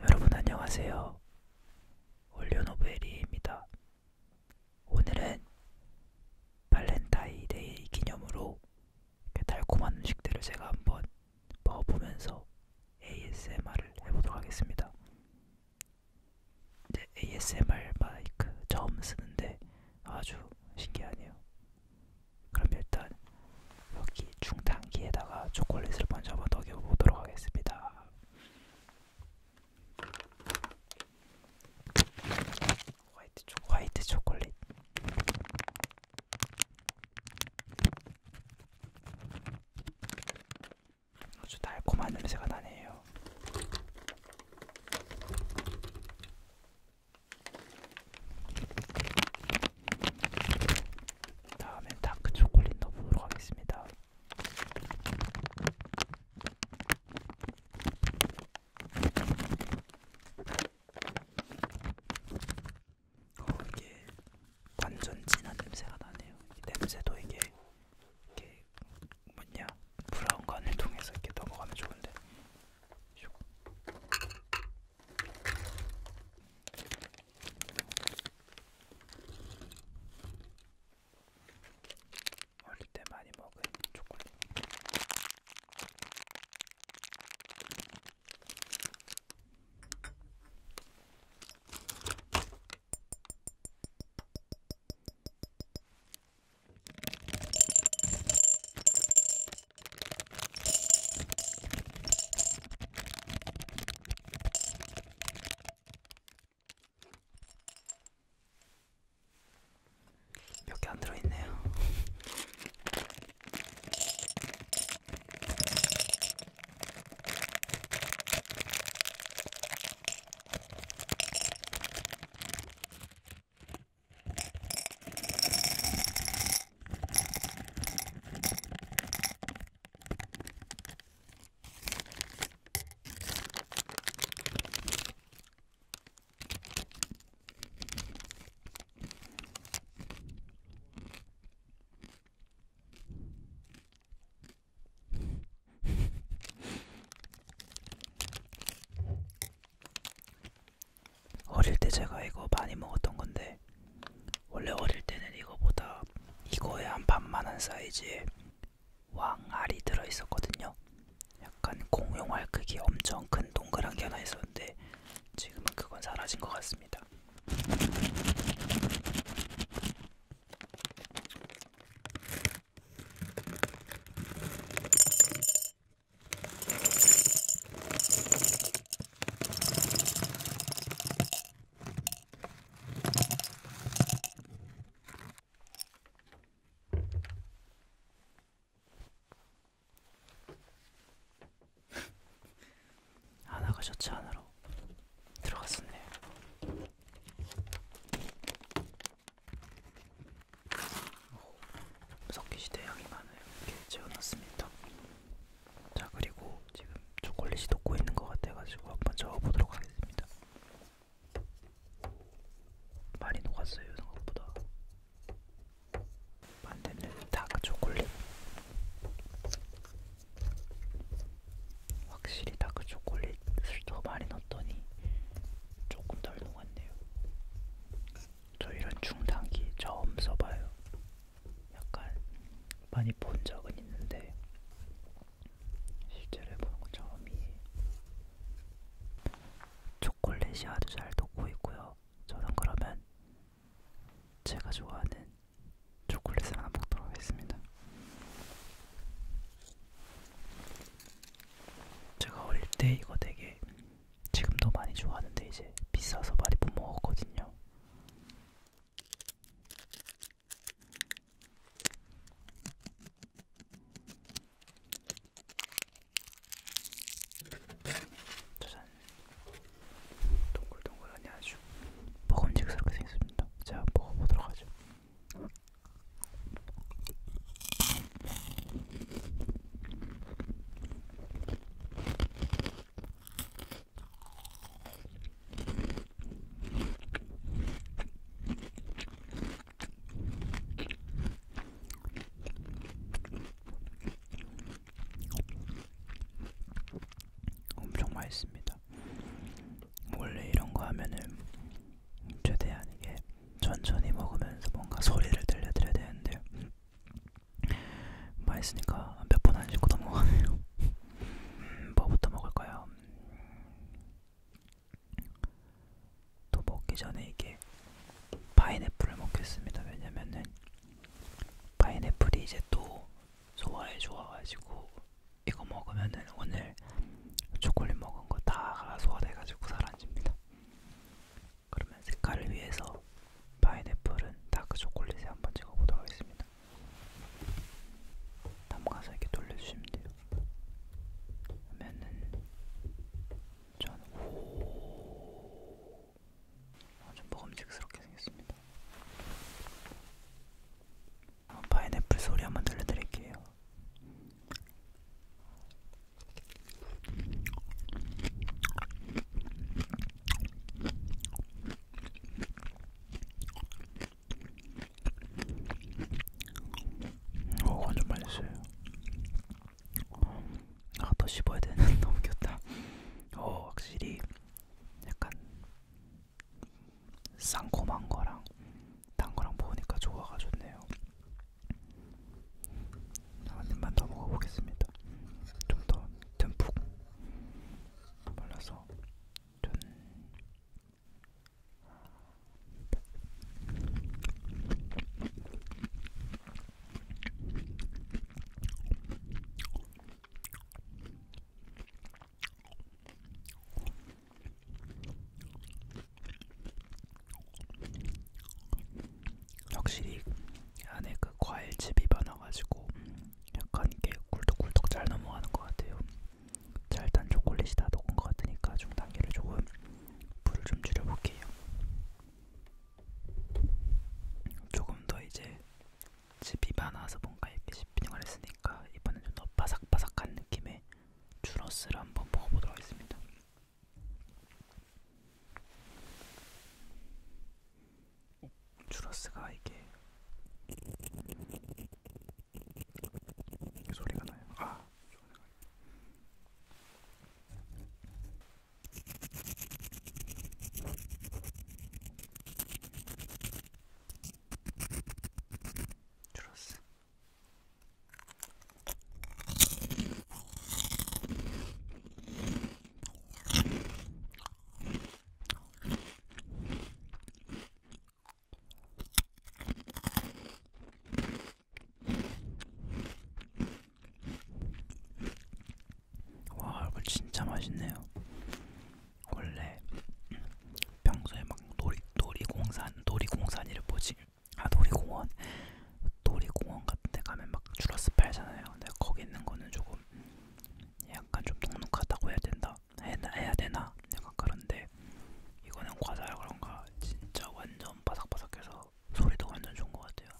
여러분 안녕하세요. 올리오노브에리입니다. 오늘은 발렌타인데이 기념으로 달콤한 음식들을 제가 한번 먹어보면서 ASMR을 해보도록 하겠습니다. 이제 ASMR 마이크 처음 쓰는데 아주 신기하네요. 그럼 일단 여기 중단기에다가 초콜릿을 먼저 한번 먹여보도록 하겠습니다. 화이트, 초, 화이트 초콜릿. 아주 달콤한 냄새가 나네요. 다음에 다크 초콜릿 넣어보도록 하겠습니다. 어, 이게 완전 진한 냄새가 나네요. 이 냄새도 이게 이게 뭐냐 브라운 관을 통해서 이렇게 넘어가면 좋은데. 어릴 때 많이 먹은 초콜릿. 몇개안 들어있네요. 어릴 때 제가 이거 많이 먹었던 건데 원래 어릴 때는 이거보다 이거에 한 반만한 사이즈의 왕알이 들어있었거든요. 약간 공룡알 크기 엄청 큰 동그란 게 하나 있었는데 지금은 그건 사라진 것 같습니다. 하나가 아, 셔츠 안으로 들어갔었네. 석기시대 양이 많아요. 이렇게 채워놨습니다. 자 그리고 지금 초콜릿이 녹고 있는 것 같아가지고 한번 저어보도록 하겠습니다. 많이 녹았어요 생각보다. 만드는 다크 초콜릿. 확실히 다크 초콜릿을 더 많이 넣었더니 조금 덜 녹았네요. 저 이런 중단기 처음 써봐요. 약간 많이 본 적은 있는데 실제로 해보는 건 처음이에요. 초콜릿이 아주 잘 녹고 있고요. 저는 그러면 제가 좋아하는 초콜릿을 하나 먹도록 하겠습니다. 제가 어릴 때 이거 되게 지금도 많이 좋아하는데 이제 비싸서 많이 못 먹었거든요. 짜잔 동글동글하니 아주 먹음직스럽게 생겼습니다. 제가 먹어보도록 하죠. 엄청 맛있습니다. 원래 이런 거 하면은 최대한 이게 천천히 먹으면서 뭔가 소리를 들려드려야 되는데 맛있으니까 뭐 몇번안 씹고 넘어가네요. 음, 뭐부터 먹을까요? 또 먹기 전에 이게 파인애플을 먹겠습니다. 왜냐면은 파인애플이 이제 또 소화에 좋아가지고 이거 먹으면은 오늘 초콜릿 먹은 거 다 소화돼가지고 사라집니다. 그러면 색깔을 위해서 파인애플은 다크 그 초콜릿에 한번 찍어보도록 하겠습니다. 담가서 이렇게 돌려주시면 돼요. 그러면은 전 오, 아주 먹음직스럽게 생겼습니다. 아, 파인애플 소리 한번 들려드릴게요. 오 완전 맛있어요 아더 씹어야 되는데 너무 귀엽다 오 확실히 약간 쌍콤한 거랑 단 거랑 먹으니까 조화가 좋네요 한 입만 더 먹어보겠습니다 좀 더 듬뿍 몰라서 전 확실히 안에 그 과일즙이 많아가지고 약간 이게 꿀떡꿀떡 잘 넘어가는 것 같아요. 자 일단 초콜릿이 다 녹은 것 같으니까 중 단계를 조금 불을 좀 줄여볼게요. 조금 더 이제 즙이 많아서 뭔가 이렇게 씹히는걸 했으니까 이번엔 좀 더 바삭바삭한 느낌의 주러스를 한번 먹어보도록 하겠습니다. 주라스가 이게 이게 소리가 나요. 아, 주라스. 와 이거 진짜 맛있네요. 원래 평소에 막 놀이 놀이공산 놀이공산이를 보지 아 놀이공원 놀이공원 같은데 가면 막 주러스 팔잖아요. 근데 거기 있는 거는 조금 약간 좀 눅눅하다고 해야 된다 해야 되나 약간 그런데 이거는 과자라 그런가 진짜 완전 바삭바삭해서 소리도 완전 좋은 것 같아요.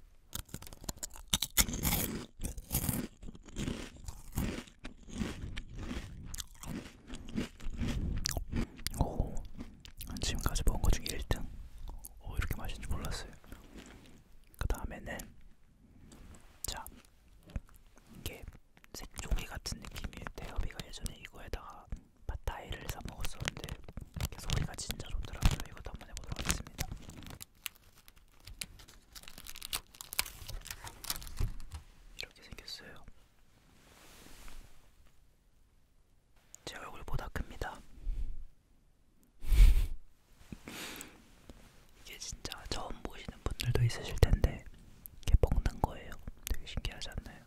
오, 지금까지 먹은 것 중에 1등. 오, 이렇게 맛있는지 몰랐어요. 그 다음에는 자, 이게 색종이 같은 느낌이에요. 대협이가 예전에 이거에다가 바타이를 사 먹었었는데 소리가 진짜 좋더라고요. 이것도 한번 해보도록 하겠습니다. 이렇게 생겼어요. 제 얼굴보다 큽니다. 이게 진짜 처음 보시는 분들도 있으실 텐데 이게 먹는 거예요. 되게 신기하지 않나요?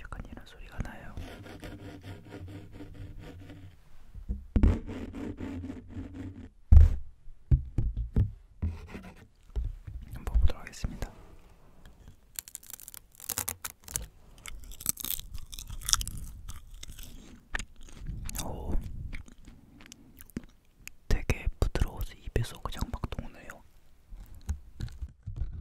약간 이런 소리가 나요. 한번 보도록 하겠습니다. 오, 되게 부드러워서 입에서 그냥 막 녹네요. 음.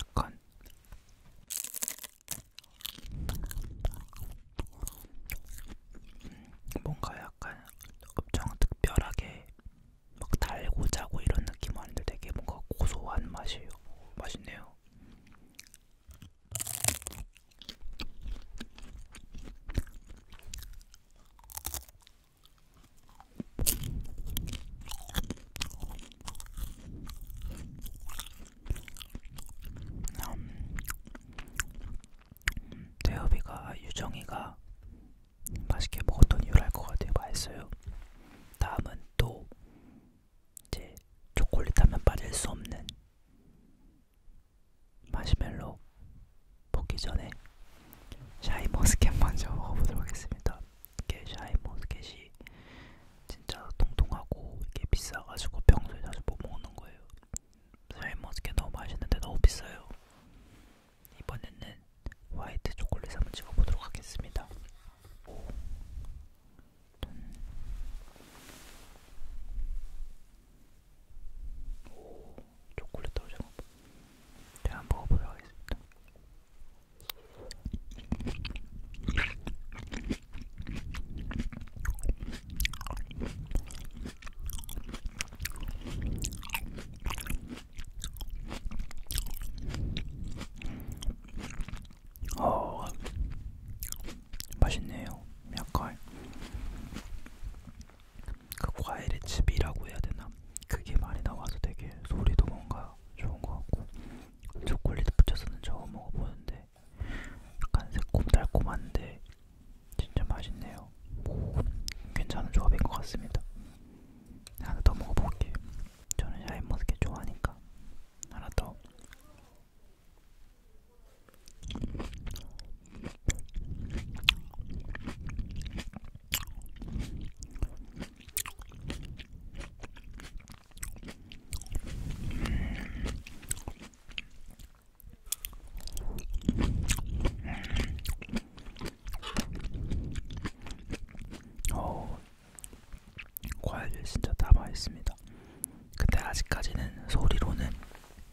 약간 뭔가 약간 엄청 특별하게 막 달고 자고 이런 느낌 아닌데 되게 뭔가 고소한 맛이에요. 오, 맛있네요. 음, 대엽이가 유정이가 맛있게 먹었던 이유를 알것 같아요. 맛있어요. 다음은 또 이제 초콜릿 하면 빠질 수 없는 마시멜로 먹기 전에 샤이머스켓 먼저 먹어보도록 하겠습니다. 게시 하이모스켓이 진짜 통통하고 이게 비싸가지고 평소에 자주 못 먹는 거예요. 하이모스켓 너무 맛있는데 너무 비싸요. 이번에는 화이트 초콜릿 한번 찍어보도록 하겠습니다. 오. 음. 오, 초콜릿 떨어져. 제가 한번 먹어보도록 하겠습니다. 어, 맛있네요. 약간 그 과일의 즙이라고 해야 되나? 그게 많이 나와서 되게 소리도 뭔가 좋은 것 같고. 초콜릿 붙였었는 처음 먹어보는데 약간 새콤달콤한데 진짜 맛있네요. 오, 괜찮은 조합인 것 같습니다. 하나 더 먹어볼게요. 저는 샤인머스켓 좋아하니까 하나 더. 어, 과일 진짜 다 맛있습니다. 근데 아직까지는 소리로는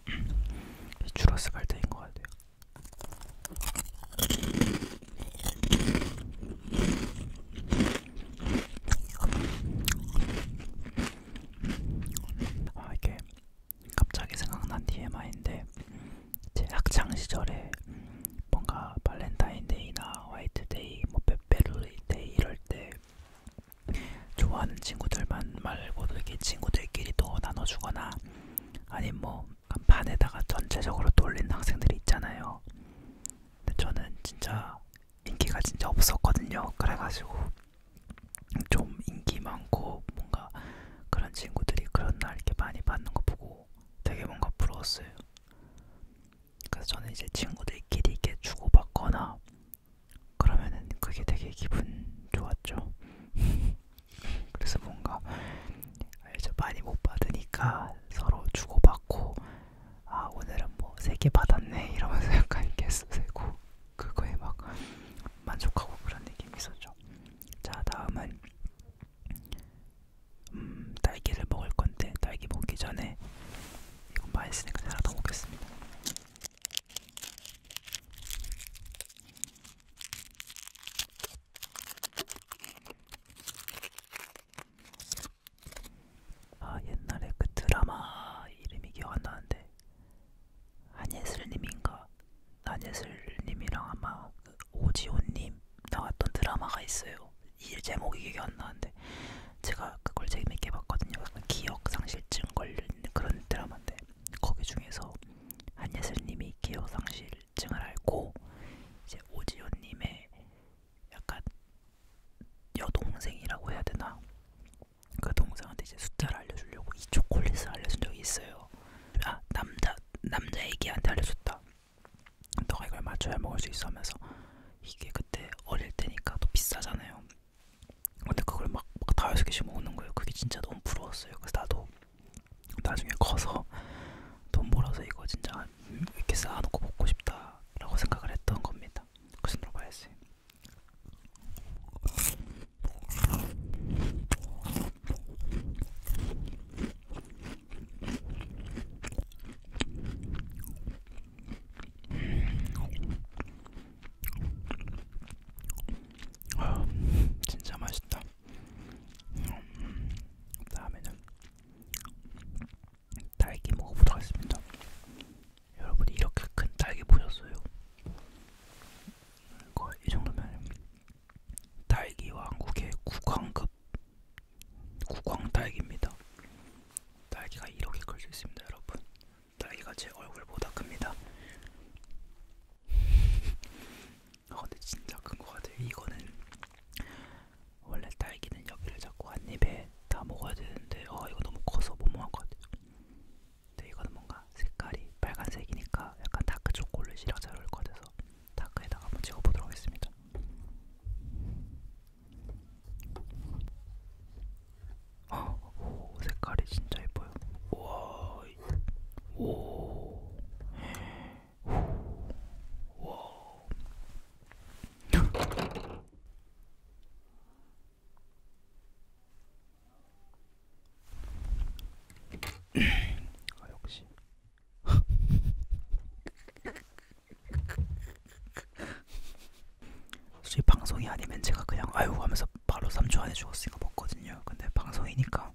이 주라스 갈대인 것 같아요. 아 이게 갑자기 생각난 TMI인데 제 학창 시절에 뭔가 발렌타인데이나 화이트데이, 뭐 페페르데이 이럴 때 좋아하는 친구들만 말고도 이렇게 친구들끼리 또 나눠주거나 아니면 뭐 반에다가 전체적으로 돌린 학생들이 있잖아요. 근데 저는 진짜 인기가 진짜 없었거든요. 그래가지고 좀 인기 많고 뭔가 그런 친구들이 그런 날 이렇게 많이 받는 거 보고 되게 뭔가 부러웠어요. 그래서 저는 이제 친구들끼리 이렇게 주고받거나 그러면은 그게 되게 기분 좋았죠. 그래서 뭔가 아, 이제 많이 못 받으니까 서로 주고받고 아 오늘은 뭐 세 개 받았네 이러면서 약간 개수 세고 그거에 막 만족하고 그런 느낌이 있었죠. 자 다음은 음, 딸기를 먹을 건데 딸기 먹기 전에 이건 맛있으니까 하나 더 먹겠습니다. 아 옛날에 그 드라마 이름이 기억 안 나는데 한예슬님인가 한예슬님이랑 아마 그 오지호님 나왔던 드라마가 있어요. 이 제목이 기억 안 나는데 제가 그걸 재밌게 봤거든요. 기억 상실증 걸린 그런 드라마인데 거기 중에서 한예슬님이 기억 상실증을 앓고 이제 오지호님의 약간 여동생이라고 해야 되나? 그 동생한테 이제 숫자를 알려주려고 이 초콜릿을 알려준 적이 있어요. 아 남자 남자 애기한테 알려줬다. 너가 이걸 맞춰야 먹을 수 있어 하면서 이게 그때 어릴 때니까 또 비싸잖아요. 근데 그걸 막 다여섯 개씩 먹는 거예요. 그게 진짜 너무 부러웠어요. 그래서 나도 나중에 커서 돈 벌어서 이거 진짜 이렇게 쌓아놓고 먹고 싶다라고 생각을 했던 겁니다. 그래서 들어봐야지. 아, 진짜 맛있다. 음, 다음에는 딸기 먹어보도록 하겠습니다. 여러분이 이렇게 큰 딸기 보셨어요? 이거 이 정도면 딸기와 한국의 국왕급 국왕 딸기입니다. 딸기가 이렇게 클 수 있습니다, 여러분. 딸기가 제 얼굴보다 큽니다. 아 근데 진짜 큰거 같아요. 이거는 원래 딸기는 여기를 자꾸 한 입에 다 먹어야 되는데 어 이거 너무 커서 못 먹을 것 같아요. 근데 이거는 뭔가 색깔이 빨간색이니까 약간 다크 초콜릿이랑 잘 어울릴 것 같아서 다크에다가 한번 찍어보도록 하겠습니다. 오 어, 색깔이 진짜 예뻐요. 우와, 오, 아, 역시. 솔직히 방송이 아니면 제가 그냥 아유 하면서 바로 3초 안에 죽었으니까 먹거든요. 근데 방송이니까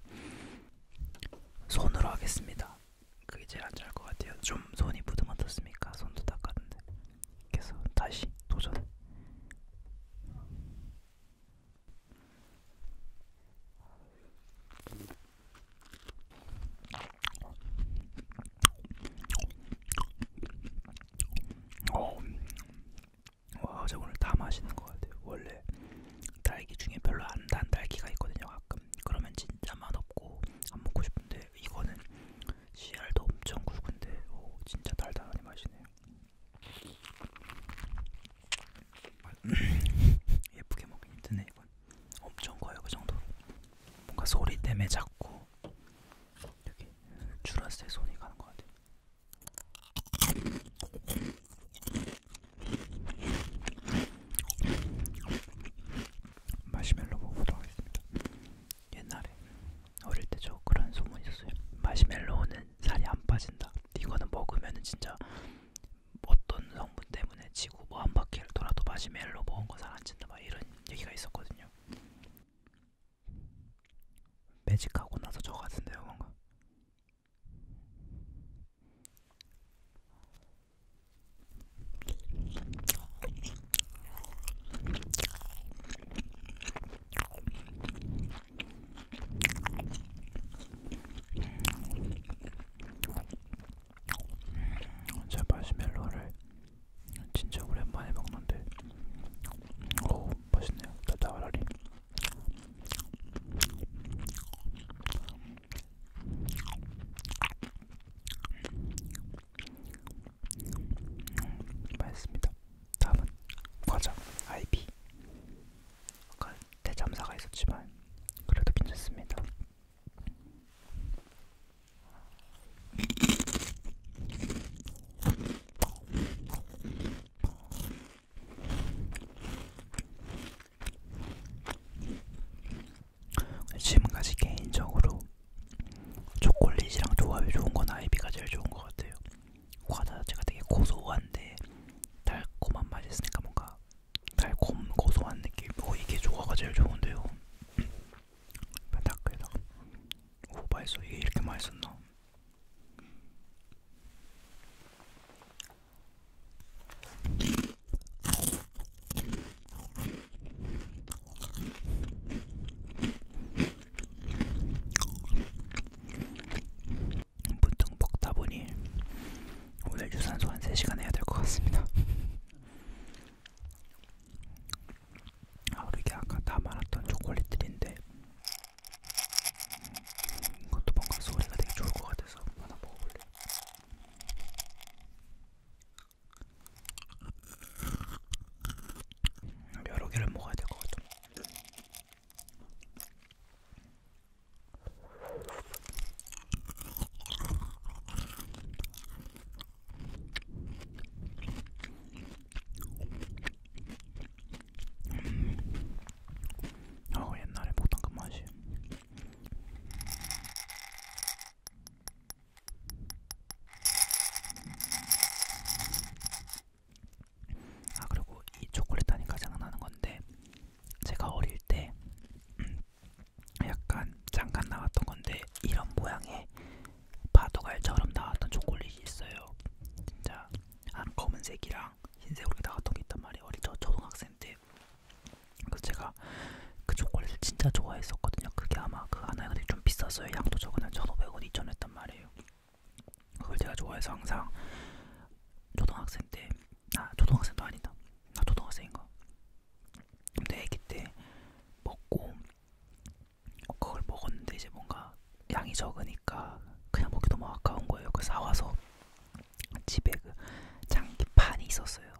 손으로 하겠습니다. 그게 제일 안전할 것 같아요. 좀 손이 부드러웠습니까? 손도 닦았는데. 그래서 다시 도전. 어, 와, 저 오늘 다 맛있는 것 같아요. 원래 딸기 중에 별로 안단 딸기가 있거든요. 가끔 그러면 진짜 맛없. 없고 안 먹고 싶은데 이거는 씨알도 엄청 굵은데 오 진짜 달달하니 맛이네요. 예쁘게 먹긴 힘드네 이건 엄청 커요 그 정도로 뭔가 소리 때문에 자꾸 여기 줄었을 때 손이 가는 것 같아요. 마시멜로 먹어보도록 하겠습니다. 옛날에 어릴 때 저 그런 소문이 있었어요. 마시멜로는 살이 안 빠진다. 이거는 먹으면은 진짜 어떤 성분 때문에 지구 뭐한 바퀴를 돌아도 마시멜로 먹은 거 살 안 찐다. 막 이런 얘기가 있었거든요. 매직하고 나서 저 같은데요, 뭔가. 제 마시멜로를 진짜 오랜만에 먹는데 오 맛있네요. 따따라리. 맛있습니다. 다음은 과자 아이비. 아까 대참사가 있었지만 그래도 괜찮습니다. 지금까지 개인적으로 초콜릿이랑 조합이 좋은 건 아이비가 제일 좋은 것 같아요. 과자 자체가 되게 고소한데 달콤한 맛이 있으니까 뭔가 달콤 고소한 느낌. 어 이게 조화가 제일 좋은데요. 펜타클에다 아, 오 맛있어. 이게 이렇게 맛있었나? 보통 먹다 보니 오늘 유산소 한 3시간 해야 될 것 같습니다. 아, 이게 아까 다 말았던 초콜릿들인데 이것도 뭔가 소리가 되게 좋을 것 같아서 하나 먹어볼래. 여러 개를 먹어야 될 것 같아. 음. 어 옛날에 먹던 그 맛이 아 그리고 이 초콜릿 하니까 생각나는 건데 제가 어릴 때 음, 약간 잠깐 나왔던 건데 이런 모양의 바둑알처럼 나왔던 초콜릿이 있어요. 진짜 한 검은색이랑 흰색으로 나왔던 게 있단 말이에요. 어릴 저 초등학생 때 그래서 제가 그 초콜릿을 진짜 좋아했었거든요. 그게 아마 그 하나에 근데 좀 비쌌어요. 양도 적은 1,500원, 2,000원 했단 말이에요. 그걸 제가 좋아해서 항상 초등학생 때, 아 초등학생도 아니다. 나 아, 초등학생인가? 근데 애기 때 먹고 그걸 먹었는데 이제 뭔가 양이 적으니까 그냥 먹기 너무 아까운 거예요. 그래서 사와서 집에 그 장기판이 있었어요.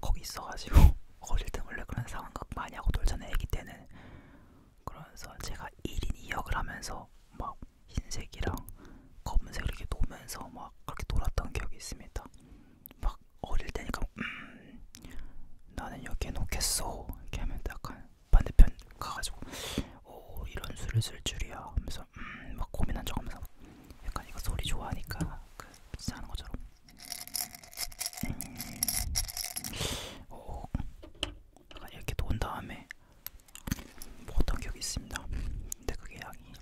거기 있어가지고 어릴 때 원래 그런 상황극 많이 하고 놀잖아요 애기 때는 그러면서 제가 1인 2역을 하면서 막 흰색이랑 검은색을 이렇게 놓으면서 막 그렇게 놀았던 기억이 있습니다 막 어릴 때니까 음 나는 여기에 놓겠어 이렇게 하면 약간 반대편 가가지고 오 어, 이런 수를 쓸 줄이야 하면서 음막 고민한 적 하면서 약간 이거 소리 좋아하니까 그 진짜 하는 것처럼 오, 약간 이렇게 돈 다음에 먹었던 기억이 있습니다. 근데 그게 양이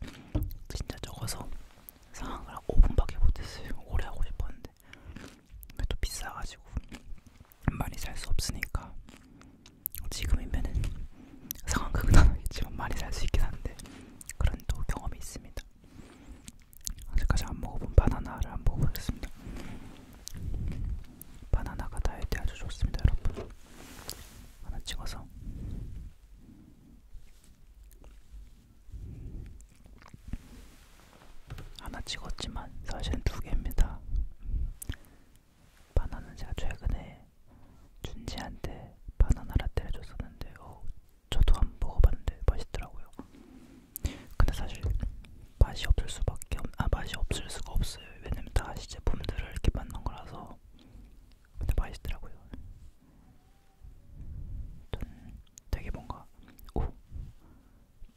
진짜 적어서 상황을 5분밖에 못했어요. 오래 하고 싶었는데 또 비싸가지고 많이 살 수 없으니까 지금이면은 상황극은 안 하겠지만 많이 살 수 있긴 한데 그런 또 경험이 있습니다. 먹어보겠습니다. 아직까지 안 먹어본 바나나를 안 먹어보겠습니다. 바나나가 다이어트에 아주 좋습니다, 여러분. 하나 찍어서. 하나 찍었지만 사실은 두 개입니다. 바나나는 제가 최근에 준지한테 바나나 라떼를 줬었는데 어, 저도 한번 먹어봤는데 맛있더라고요. 근데 사실 맛이 없을 수밖에 없, 아 맛이 없을 수가 없어요. 왜냐면 다 시제품들을 이렇게 만든 거라서. 근데 맛있더라고요. 저는 되게 뭔가 오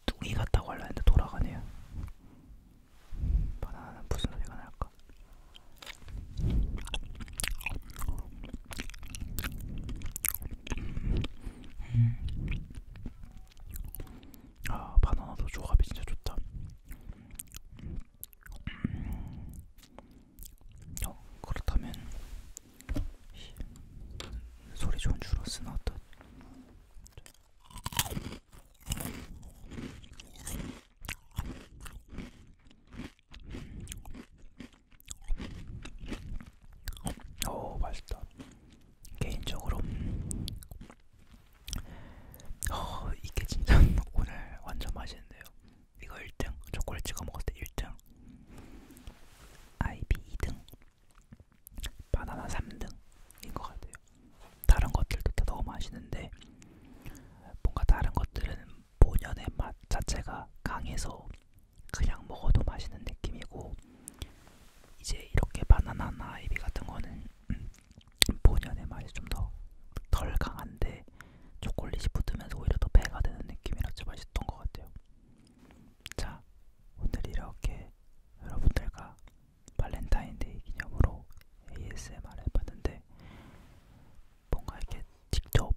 뚱이 같다고 하려는데 돌아가네요. 바나나는 무슨 소리가 날까? 아 바나나도 조합이 진짜 좋다. 어, 그렇다면 소리 좋은 주러스 나왔다. 오 맛있다. 개인적으로 어, 이게 진짜 오늘 완전 맛있는데요. 이거 1등 초콜릿 찍어 먹었을 때 1등, 아이비 2등, 바나나 3등인 것 같아요. 다른 것들도 다 너무 맛있는데 뭔가 다른 것들은 본연의 맛 자체가 강해서 그냥 먹어도 맛있는 느낌이고 이제 이렇게 바나나나 아이비 같은 거는 음, 본연의 맛이 좀 더 덜 강한데 초콜릿이 붙으면서 오히려 더 배가 되는 느낌이라서 맛있던 것 같아요. 자, 오늘 이렇게 여러분들과 발렌타인데이 기념으로 ASMR 해봤는데 뭔가 이렇게 직접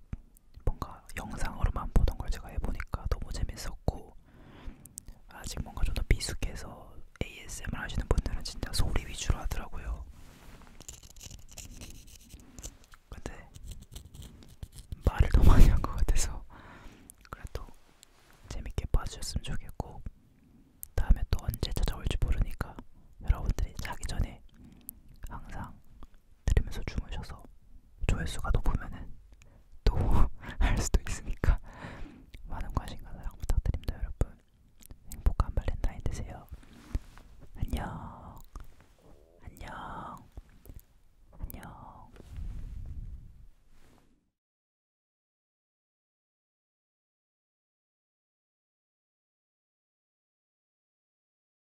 뭔가 영상으로만 보던 걸 제가 해보니까 너무 재밌었고 아직 뭔가 좀더 미숙해서 ASMR 하시는 분들은 진짜 소리 위주로 하더라고요. 근데 말을 너무 많이 한 것 같아서 그래도 재밌게 봐주셨으면 좋겠고 다음에 또 언제 찾아올지 모르니까 여러분들이 자기 전에 항상 들으면서 주무셔서 조회수가 높으면은 또 할 수도 있으니까 많은 관심과 사랑 부탁드립니다, 여러분. 행복한 발렌타인 되세요. 안녕. 안녕. 안녕.